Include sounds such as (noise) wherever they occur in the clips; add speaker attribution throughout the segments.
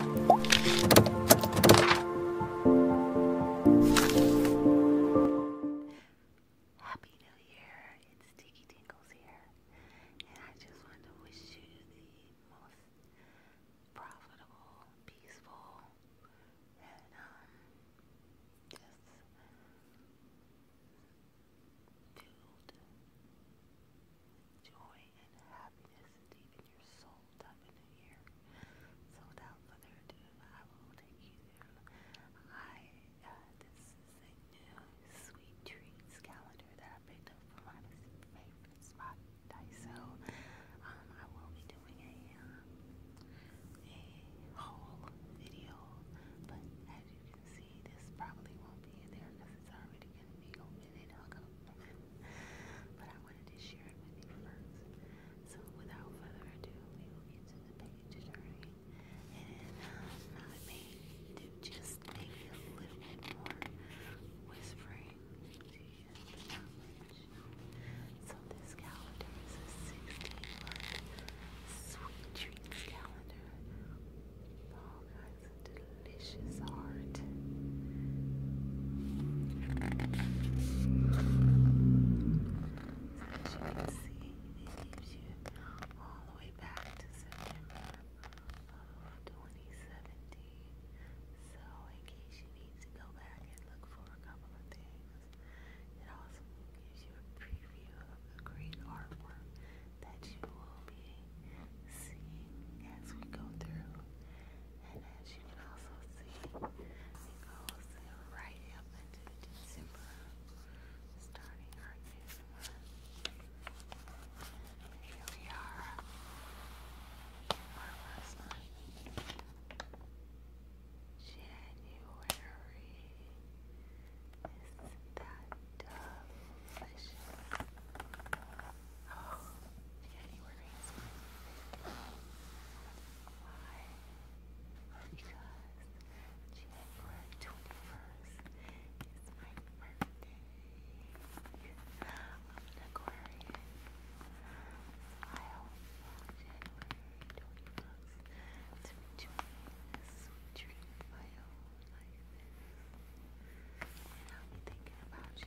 Speaker 1: Happy New Year. It's Tiki Tingles here. And I just want to wish you the most profitable, peaceful, and um, just filled joy and happiness deep in your soul type new year. So without further ado, I will take you through. I, uh, this is a new sweet treats calendar that I picked up from my favorite spot, Daiso. Um, I will be doing a, um, a haul video, but as you can see, this probably won't be there because it's already going to and (laughs) but I wanted to share it with you first. So without further ado, we will get to the page turning. And um, I do just maybe a little bit more whispering to you, So this calendar is a sweet treats calendar. guys, delicious heart. As you can see, it gives you all the way back to September of 2017. So, in case you need to go back and look for a couple of things, it also gives you a preview of the great artwork that you will be seeing as we go through. And as you can also see, it goes right up into December, starting our new Here we are, our first month, January is that delicious? Oh, yeah, you Why? Because January 21st is my birthday. I'm an Aquarian. I hope January 21st to be sweet dreams my own life. And I'll be thinking about you.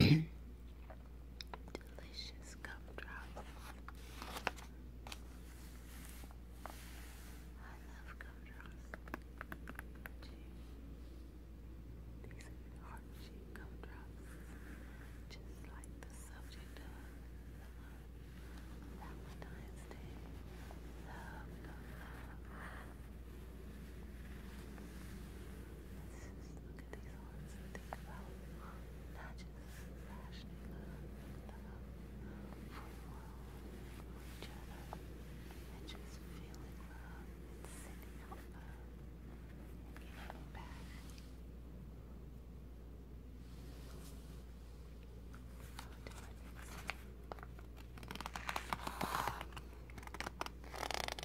Speaker 1: Delicious gumdrops. I love gumdrops. These are heart shaped gumdrops. Just like the subject of Valentine's Day. love, love. Let's look at these ones think about not just fashioning love for love for each other, and just feeling love and sending love and giving back.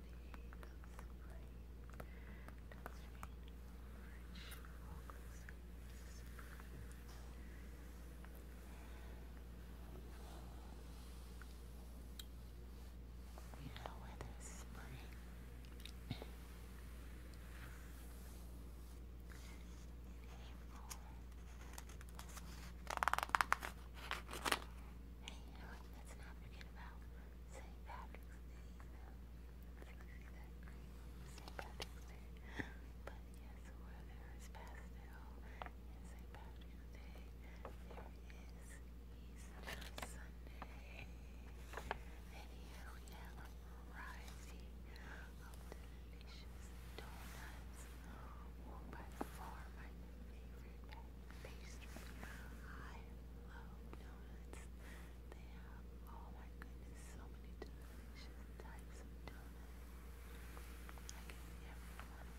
Speaker 1: You know whether spring in you let's not forget about St. Patrick's Day, you but yes, where there is pastel in St. Patrick's Day, there is Easter Sunday. And here we have a variety of delicious donuts, by far my favorite pastry. I love donuts. They have, oh my goodness, so many delicious types of donuts. I can see every one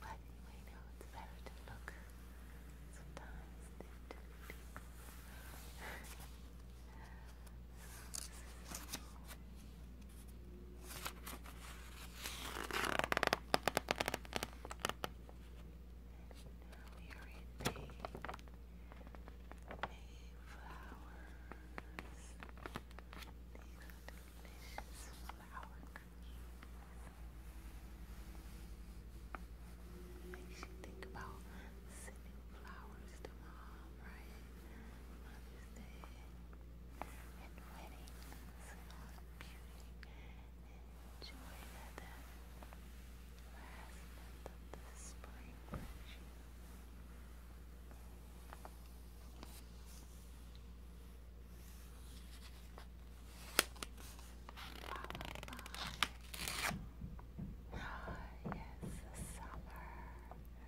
Speaker 1: But anyway, no, it's better to look sometimes than to do now we are in the Mayflowers. These are delicious flower cookies. you think about sending flowers to mom, right? Mother's Day and weddings and beauty enjoyed that last of the spring with you. yes, the summer.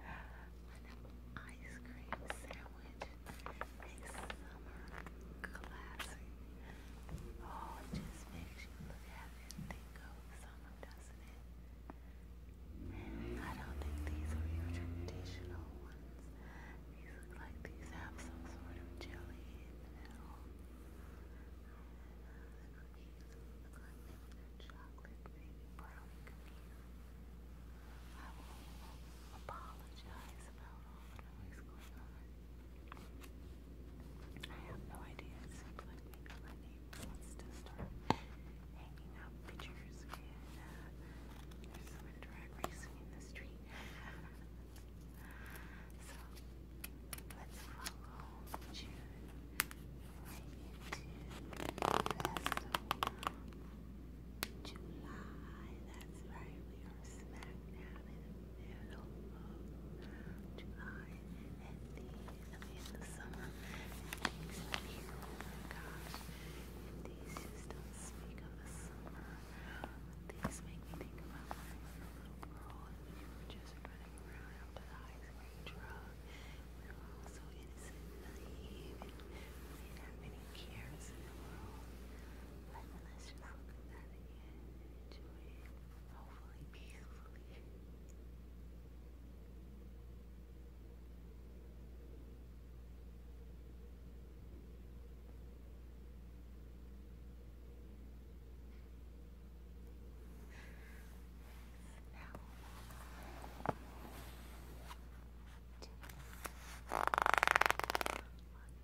Speaker 1: An ice cream sandwich a summer classic. Oh, it just makes you look at it and think of summer, doesn't I don't think these are your traditional ones. These look like these have some sort of jelly in the middle. The look like chocolate, maybe brownie I will apologize about all I have no idea. It seems like maybe my neighbor wants to start hanging out pictures there's someone drag racing in the street. so let's follow June into Festival July. That's right, we are smack down in middle of July and the, I the summer and things in here, and these just don't speak of the summer. These make me think about a little girl and we were just running around after the ice cream truck. We were all so innocent we didn't have any cares in the world. let's look at that again doing hopefully peacefully. Now,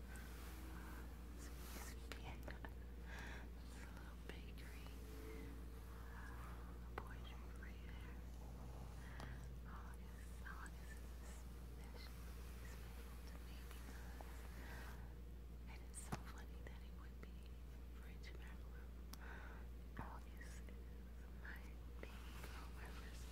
Speaker 1: It's a little bakery. A poetry free there. August, August is especially special to me and it's so funny that it would be French Macaron. August is my baby month.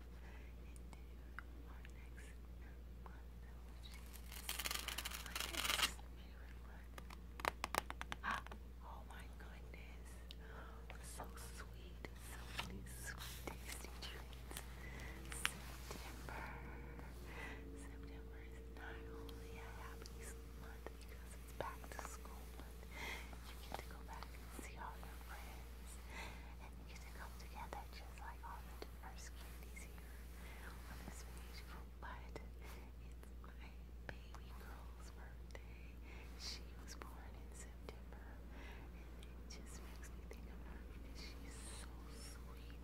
Speaker 1: Oh my goodness. So sweet. So sweet tasty treats. September. September is not only a happy month because it's back to school month. You get to go back and see all your friends you can together just like all the diverse candies here on this beautiful but it's my baby girl's birthday. She was born in September and it just makes me think of her because she's so sweet.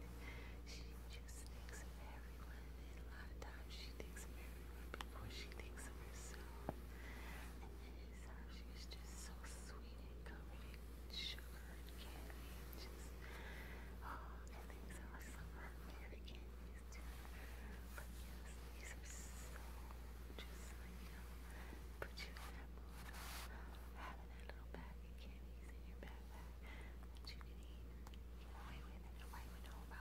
Speaker 1: She just thinks of everyone. And a lot of times she thinks of everyone before she thinks of herself. She's just so sweet and covered in sugar and candy just oh I think so I love her fairy candies too. But yes, these are so just like you know, put you in that having that little bag of candies in your backpack that you can eat and get away with and nobody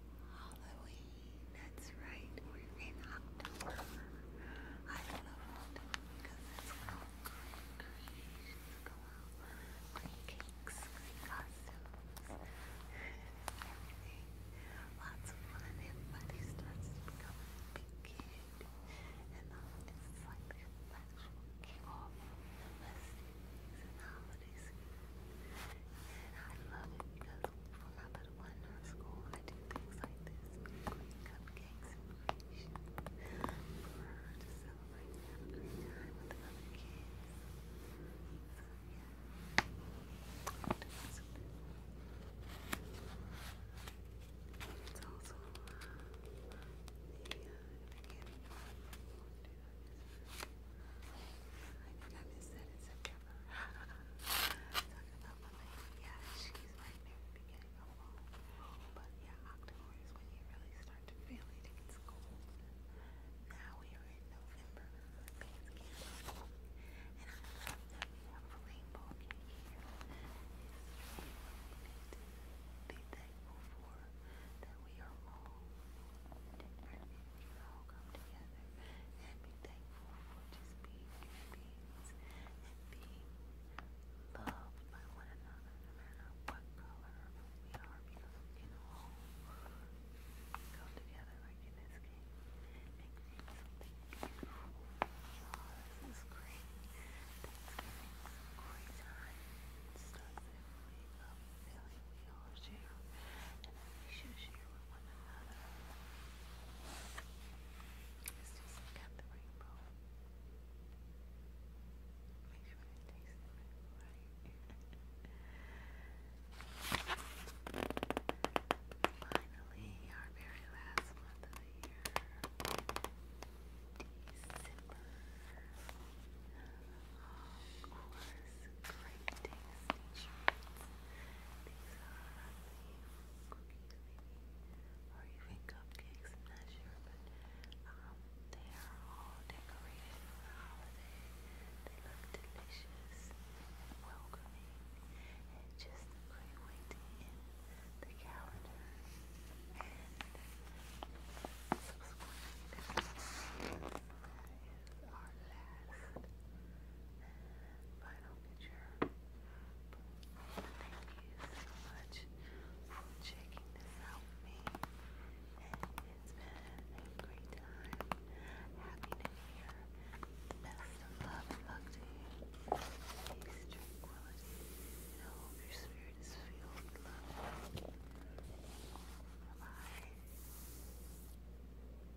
Speaker 1: Halloween. That's right. We're in October. I love October because it's all good creations go out. costumes, (laughs) everything. Lots of fun. Everybody starts to become big kid. And uh, it's like the actual kickoff of the festivities and holiday season. And I love it because for my that one in school. I do things like this, baking cupcakes and creations for her to celebrate with other kids. So yeah, It's also the uh, uh I think I missaid it's Talking yeah, she's right near the beginning of fall. But yeah, October is when you really start to feel it. It gets Now we are in November. And I love that we have a rainbow be thankful for that we are all you all come together and be thankful for just being human beings and being loved by one another, no matter what color we are, because we all come together like in this game and create something beautiful. Oh, this is great. Thanksgiving is a time. It's stuff that we, um, we all share and we should share for one Let's just look the rainbow. Make sure it tastes the Finally, our very last month of the year. of course, great tasting these are, I cookies maybe, or even cupcakes, I'm not sure, but they are all decorated for the holiday. They look delicious and welcoming, and just great way to the calendar. And subscribe is our last final picture. Thank you so much for checking this out with me. it's been a great time. Happy New Year. best of luck to you. Peace, tranquility. I hope your spirit is filled with love. Bye-bye.